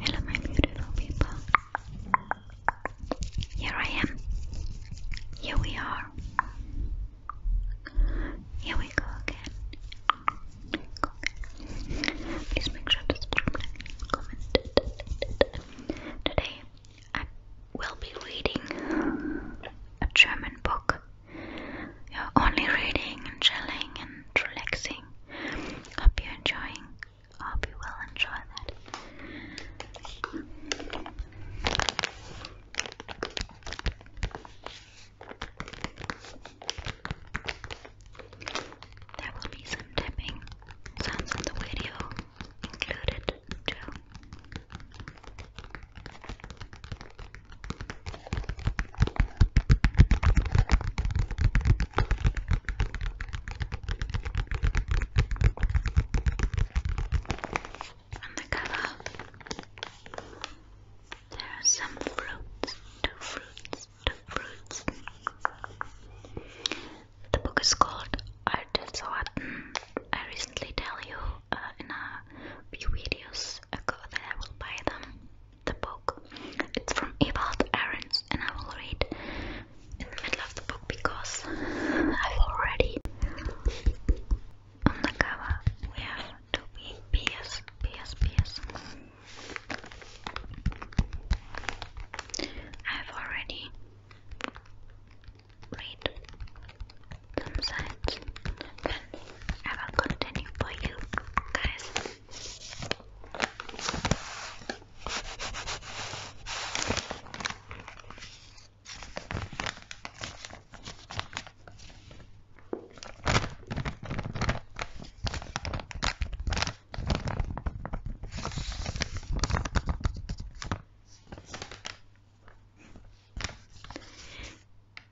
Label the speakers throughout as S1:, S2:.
S1: Hello, my beautiful people. Here I am. Here we are. Here we go again. Please make sure to subscribe, like, comment. Today I will be reading a German book. You're only reading and chilling and relaxing. Hope you're enjoying. Hope you will enjoy that. There will be some tapping sounds in the video included too. On the cover, there are some fruits, two fruits, two fruits. The book is called I artists what mm, I recently tell you uh, in a few videos ago that I will buy them the book. It's from Ewald Ahrens and I will read in the middle of the book because I've already on the cover we have to be PS PS PS I've already read some signs, then I will continue for you guys.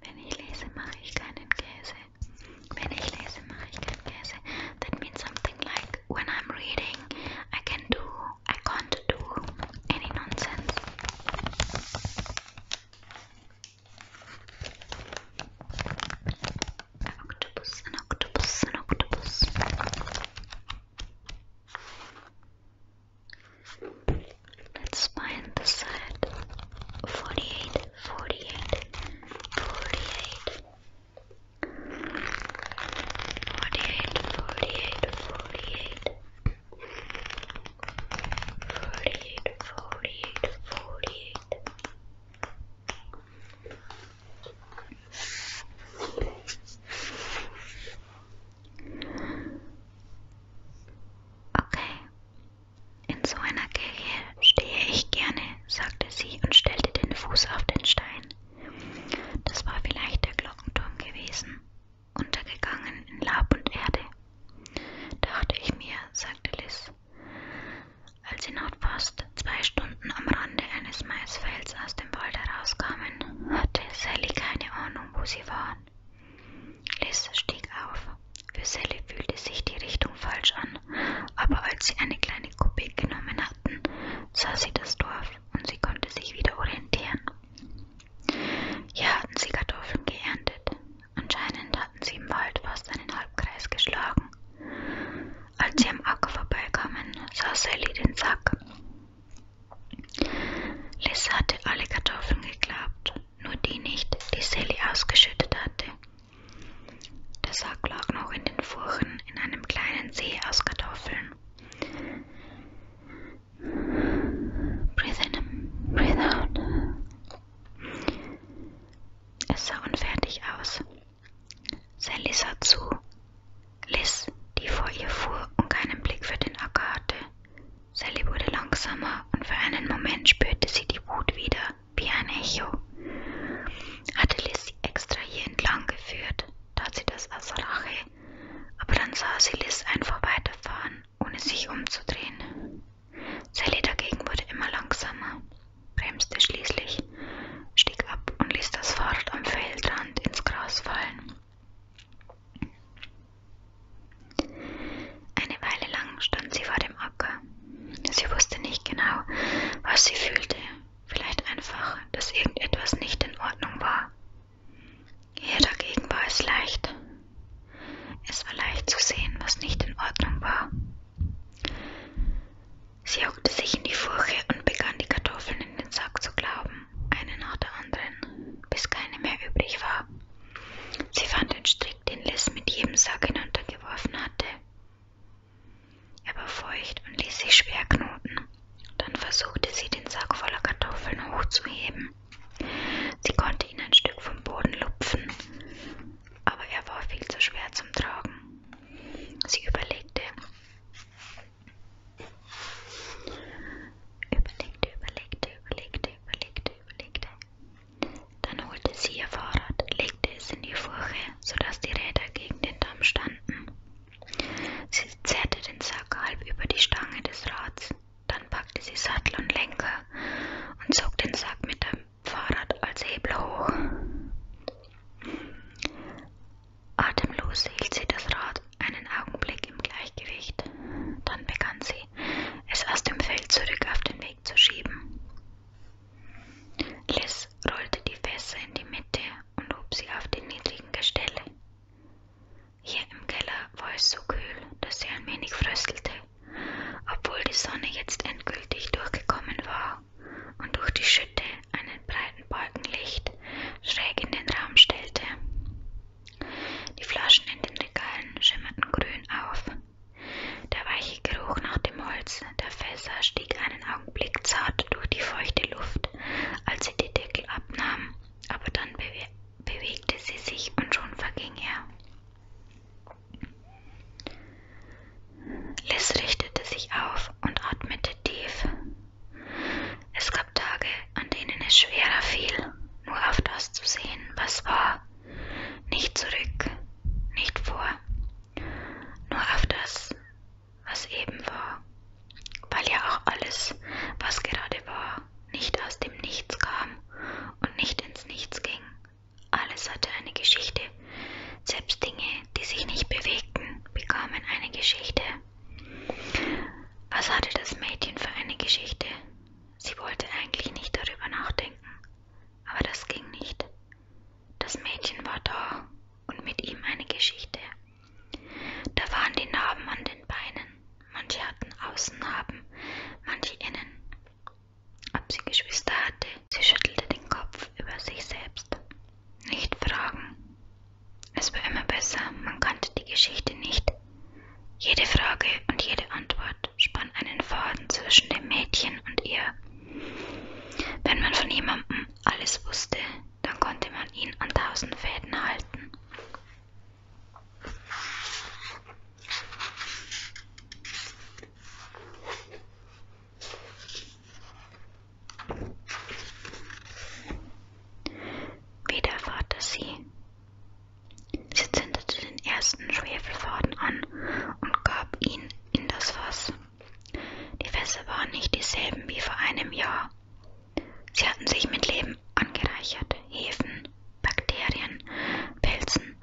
S1: Wenn ich lese, mache ich keinen Käse. Wenn That means something like when I'm reading, I can do, I can't do any nonsense. octopus, an octopus, an octopus. Let's find the side 48, 48, 48. 48, 48, 48. 48, 48, 48. Okay, in so einer Kirche stehe ich gerne, sagte sie und stellte den Fuß auf den Stein. Das war vielleicht der Glockenturm gewesen, untergegangen in Laub und Erde. Dachte ich mir, sagte Liz. Als sie noch fast zwei Stunden am Rande eines Maisfelds aus dem Wald herauskamen, hatte Sally keine Ahnung, wo sie war an. Liz stieg auf. Für Sally fühlte sich die Richtung falsch an, aber als sie eine kleine Kuppe genommen hatten, sah sie das Dorf und sie konnte sich wieder orientieren. Hier hatten sie Kartoffeln geerntet. Anscheinend hatten sie im Wald fast einen Halbkreis geschlagen. Als sie am Acker vorbeikamen, sah Sally den Sack. Liz hatte alle Kartoffeln geklappt, nur die nicht, die Sally ausgeschüttet hatte. Der Sack lag noch in den Furchen in einem kleinen See aus Kartoffeln. Breathe in, breathe out. Es sah unfertig aus. Sally sah zu. Liz, die vor ihr fuhr und keinen Blick für den Acker hatte. Sally wurde langsamer und für einen Moment spürte sie die Wut wieder, wie ein Echo. Hatte Liz sie extra hier entlang geführt, tat sie das aus Rache, aber dann sah sie Liz einfach weiterfahren, ohne sich umzudrehen. Sally dagegen wurde immer langsamer, bremste schließlich, stieg ab und ließ das Fahrrad am Feldrand ins Gras fallen. Eine Weile lang stand sie vor dem Acker. Sie wusste nicht genau, was sie fühlte. Vielleicht einfach, dass irgendetwas nicht in Ordnung war. Ihr dagegen war es leicht. Es war leicht zu sehen, was nicht in Ordnung war. Sie hockte sich in die Furche und begann die Kartoffeln in den Sack zu glauben eine nach der anderen, bis keine mehr übrig war. Sie fand den Strick, den Liz mit jedem Sack hinuntergeworfen hatte. Er war feucht und ließ sich schwer knoten. Dann versuchte sie, den Sack voller Kartoffeln hochzuheben. Sie konnte ihn ein Stück vom Boden lupfen, aber er war viel zu schwer zum Tragen. Sie überlegte, Überlegte, überlegte, überlegte, überlegte, überlegte. Dann holte sie ihr Fahrrad, legte es in die Furche, sodass die Räder gegen den Damm standen. Sie zerrte den Sack halb über die Stange des Rads. Dann packte sie Sattel und Lenker und zog den Sack mit dem Fahrrad als Hebel hoch. Atemlos hielt sie das Rad einen Augenblick im Gleichgewicht. Dann begann sie, es aus dem Feld zurück auf den Weg zu schieben. Liz rollte die Fässer in die Mitte und hob sie auf die niedrigen Gestelle. Hier im Keller war es so kühl, dass sie ein wenig fröstelte, obwohl die Sonne jetzt endgültig durchgekommen war und durch die Schütte einen breiten Balken Licht schräg in den Raum stellte. Die Flaschen in den Regalen schimmerten grün auf. Der weiche Geruch nach dem Holz der Fässer stieg einen Augenblick zart durch die feuchte Luft, als sie die Deckel abnahm, aber dann bewe bewegte sie sich und schon verging er. Liz richtete sich auf und atmete tief. Es gab Tage, an denen es schwerer fiel, nur auf das zu sehen, was war, nicht zurück, nicht vor, nur auf das, was eben war, weil ja auch alles, was gerade war, nicht aus dem Nichts kam und nicht ins Nichts ging. Alles hatte eine Geschichte, selbst Dinge, die sich nicht bewegten, bekamen eine Geschichte. Was hatte das Mädchen für eine Geschichte? Sie wollte eigentlich nicht darüber nachdenken, aber das ging nicht. Das Mädchen war da und mit ihm eine Geschichte. Da waren die Narben an den Beinen. Manche hatten Außennarben, manche innen. Ob sie Geschwister hatte, sie schüttelte den Kopf über sich selbst. Nicht fragen. Es war immer besser, man kannte die Geschichte nicht, jede Frage und jede Antwort spann einen Faden zwischen dem Mädchen und ihr. Wenn man von jemandem alles wusste, dann konnte man ihn an tausend Fäden halten. Wieder erfahrt er sie. Sie zündete den ersten Schwefelfaden an und gab ihn in das Fass. Die Fässer waren nicht dieselben wie vor einem Jahr. Sie hatten sich mit Leben angereichert, Hefen, Bakterien, Pilzen.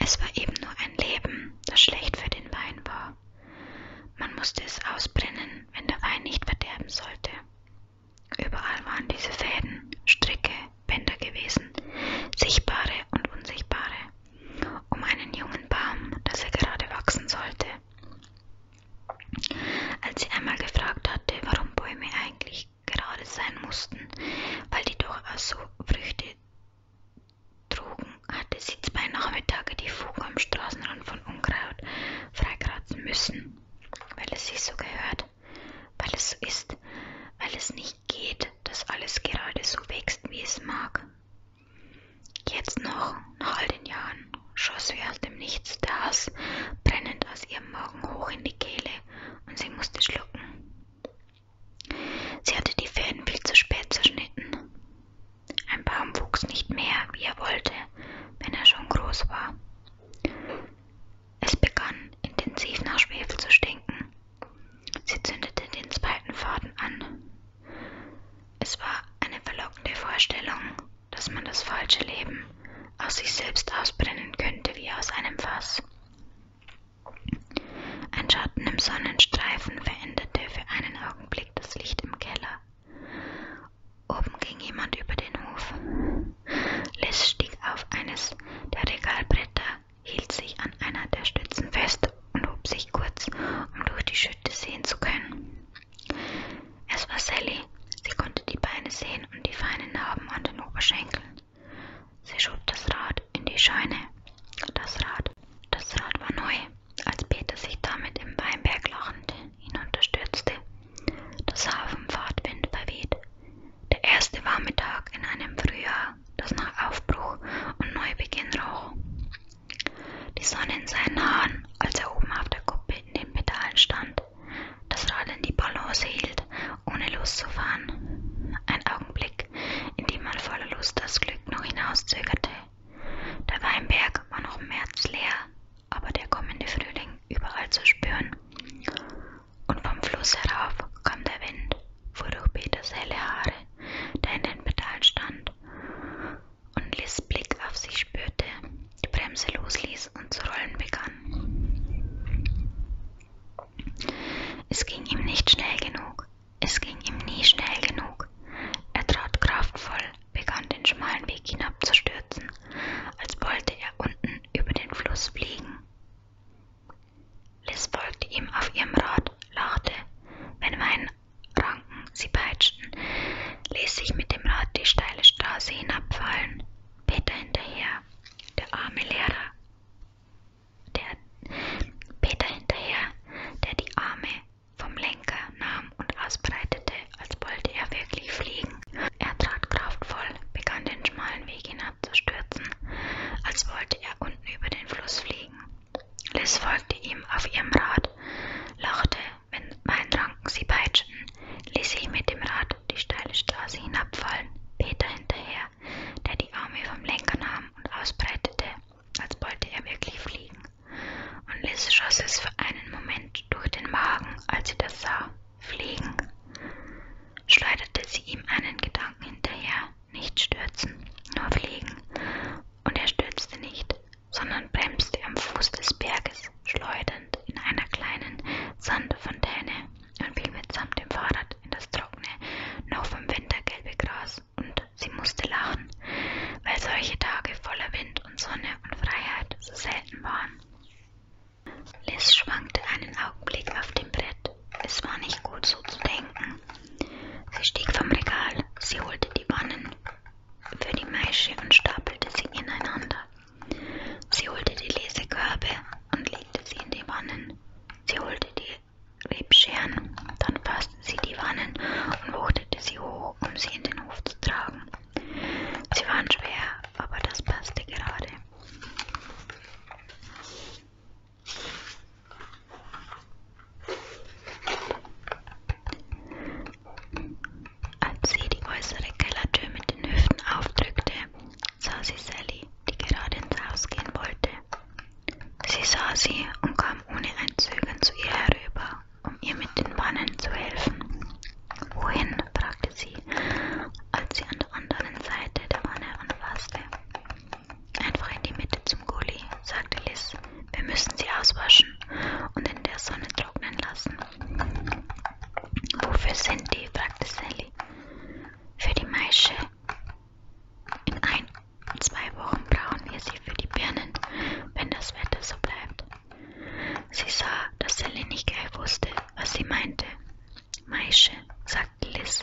S1: Es war eben nur ein Leben, das schlecht für den Wein war. Man musste es ausbrennen, wenn der Wein nicht verderben sollte. Überall waren diese Fäden, Stricke, Bänder gewesen, sichtbare und unsichtbare, um einen jungen Baum, dass er gerade wachsen sollte. Als sie einmal gefragt hatte, warum Bäume eigentlich gerade sein mussten, weil die durchaus so Früchte trugen, hatte sie zwei Nachmittage die Fuge am Straßenrand von Unkraut freikratzen müssen, weil es sich so gehört weil es so ist, weil es nicht geht, dass alles gerade so wächst, wie es mag. Jetzt noch, nach all den Jahren, schoss wie aus dem Nichts der Hass brennend aus ihrem Magen hoch in die Kehle und sie musste schlucken. Sie hatte die Fäden viel zu spät zerschnitten. Ein Baum wuchs nicht mehr, wie er wollte, wenn er schon groß war. Es begann, intensiv nach Schwefel zu stinken. Sie zündete den zweiten Faden an. Es war eine verlockende Vorstellung, dass man das falsche Leben aus sich selbst ausbrennen könnte wie aus einem Fass. Ein Schatten im Sonnenstreifen veränderte für einen Augenblick das Licht im Keller Oben ging jemand über den Hof. Liz stieg auf eines der Regalbretter, hielt sich an einer der Stützen fest und hob sich kurz, um durch die Schütte sehen zu können. Es war Sally. Sie konnte die Beine sehen und die feinen Narben an den Oberschenkeln. Sie schob das Rad in die Scheune. Das Rad, das Rad war neu, als Peter sich damit im Weinberg lachend hinunterstürzte. Das Hafenfahrtwind verweht der erste warme Tag in einem Frühjahr, das nach Aufbruch und Neubeginn roch. Die Sonne in seinen Haaren, als er oben auf der Kuppe in den Pedalen stand, das Rad in die Balance hielt, ohne loszufahren. Ein Augenblick, in dem man voller Lust das Glück noch hinauszögerte. Der Weinberg war noch märzleer, aber der kommende Frühling überall zu spüren. Und vom Fluss herauf kam der Wind, fuhr durch Peters helle Haare, der in den Pedalen stand, und Liz Blick auf sich spürte, die Bremse losließ und zu rollen begann. Es ging ihm nicht schnell genug, es ging ihm nie schnell genug. Er trat kraftvoll, begann den schmalen Weg hinabzustürzen, als wollte er unten Stunden über den Fluss fliegen. Liz folgte ihm auf ihrem Rad, lachte, wenn Weinranken sie peitschten, ließ sich mit dem Rad die steile Straße hinabfallen, Peter hinterher, der arme Lehrer, der Peter hinterher, der die Arme vom Lenker nahm und ausbreitete, als wollte er wirklich fliegen. Er trat kraftvoll, begann den schmalen Weg hinabzustürzen, als wollte er unten über den Fluss fliegen. Liz folgte ihm auf ihrem Rad, lachte, wenn Weinranken sie peitschten, ließ sich mit dem Rad die steile Straße hinabfallen, Peter hinterher, der die Arme vom Lenker nahm und ausbreitete, als wollte er wirklich fliegen. Und Liz schoss es für einen Moment durch den Magen, als sie das sah. Fliegen, schleuderte sie ihm einen Gedanken hinterher, nicht stürzen, nur fliegen, und er stürzte nicht, sondern bremste am Fuß des Berges, schleudernd in einer kleinen Sandfontäne und fiel mitsamt dem Fahrrad in das trockene, noch vom Winter gelbe Gras, und sie musste lachen, weil solche Tage voller Wind und Sonne und Freiheit so selten waren. Liz schwankte einen Augenblick auf dem Brett. Es war nicht gut, so zu denken. Sie stieg vom Regal, sie holte die Wannen für die Maische und stapelte sie ineinander. Sie holte die Lesekörbe und legte sie in die Wannen. Sie holte die Rebscheren, dann fasste sie die Wannen und wuchtete sie hoch, um sie in den Hof zu tragen. Sie waren schwer, aber das passte gerade. Als sie die äußere Kellertür mit den Hüften aufdrückte, sah sie Sally, die gerade ins Haus gehen wollte. Sie sah sie und kam ohne ein Zögern zu ihr herüber, um ihr mit den Wannen zu helfen. Wohin? fragte sie, als sie an der anderen Seite der Wanne anfasste. Einfach in die Mitte zum Gully, sagte Liz. Wir müssen sie auswaschen und in der Sonne trocknen lassen. Wofür sind die? fragte Sally. Für die Maische. In ein, zwei Wochen brauchen wir sie für die Birnen, wenn das Wetter so bleibt. Sie sah, dass Sally nicht gleich wusste, was sie meinte, Maische, sagte Liz,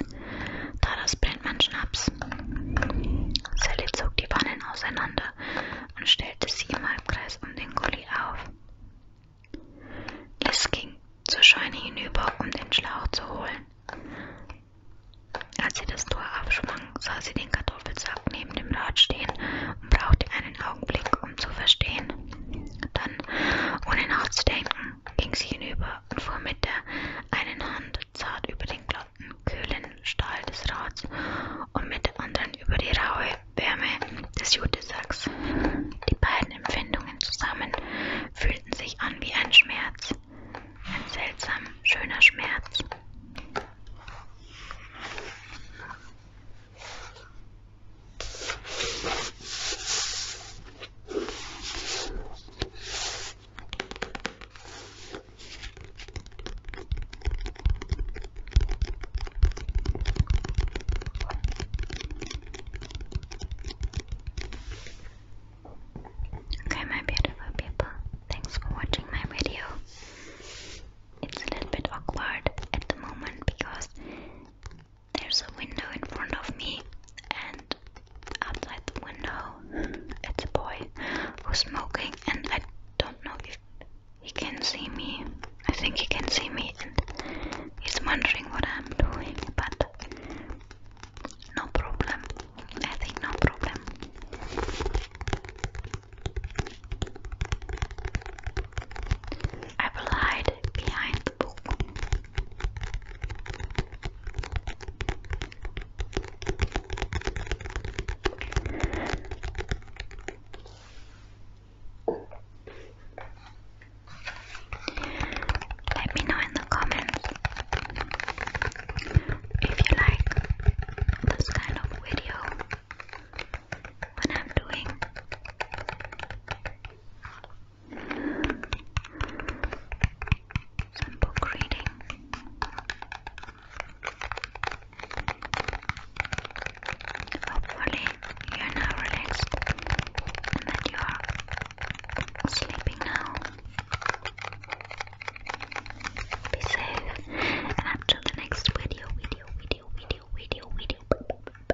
S1: daraus brennt man Schnaps. Sally zog die Wannen auseinander und stellte sie im Halbkreis um den Gully auf. Liz ging zur Scheune hinüber, um den Schlauch zu holen. Als sie das Tor aufschwang, sah sie den Kartoffelsack neben dem Rad stehen und brauchte einen Augenblick, um zu verstehen. Dann, ohne nachzudenken, ging sie hinüber und fuhr mit der einen Hand zart über den glatten, kühlen Stahl des Rads und mit der anderen über die raue Wärme des Jutesacks. Die beiden Empfindungen zusammen fühlten sich an wie ein Schmerz, ein seltsam schöner Schmerz. Okay, my beautiful people, thanks for watching my video. It's a little bit awkward at the moment because there's a window in front of me, and outside the window, it's a boy who's smoking, and I don't know if he can see me. I think he can see me, and he's wondering what I'm doing, but no problem. I think no problem. I will behind the book. Let me know in the comments if you like this kind of video when I'm doing some book reading. Hopefully, you are now relaxed and that you are sleeping now. Be safe and up the next video, video, video, video, video, video.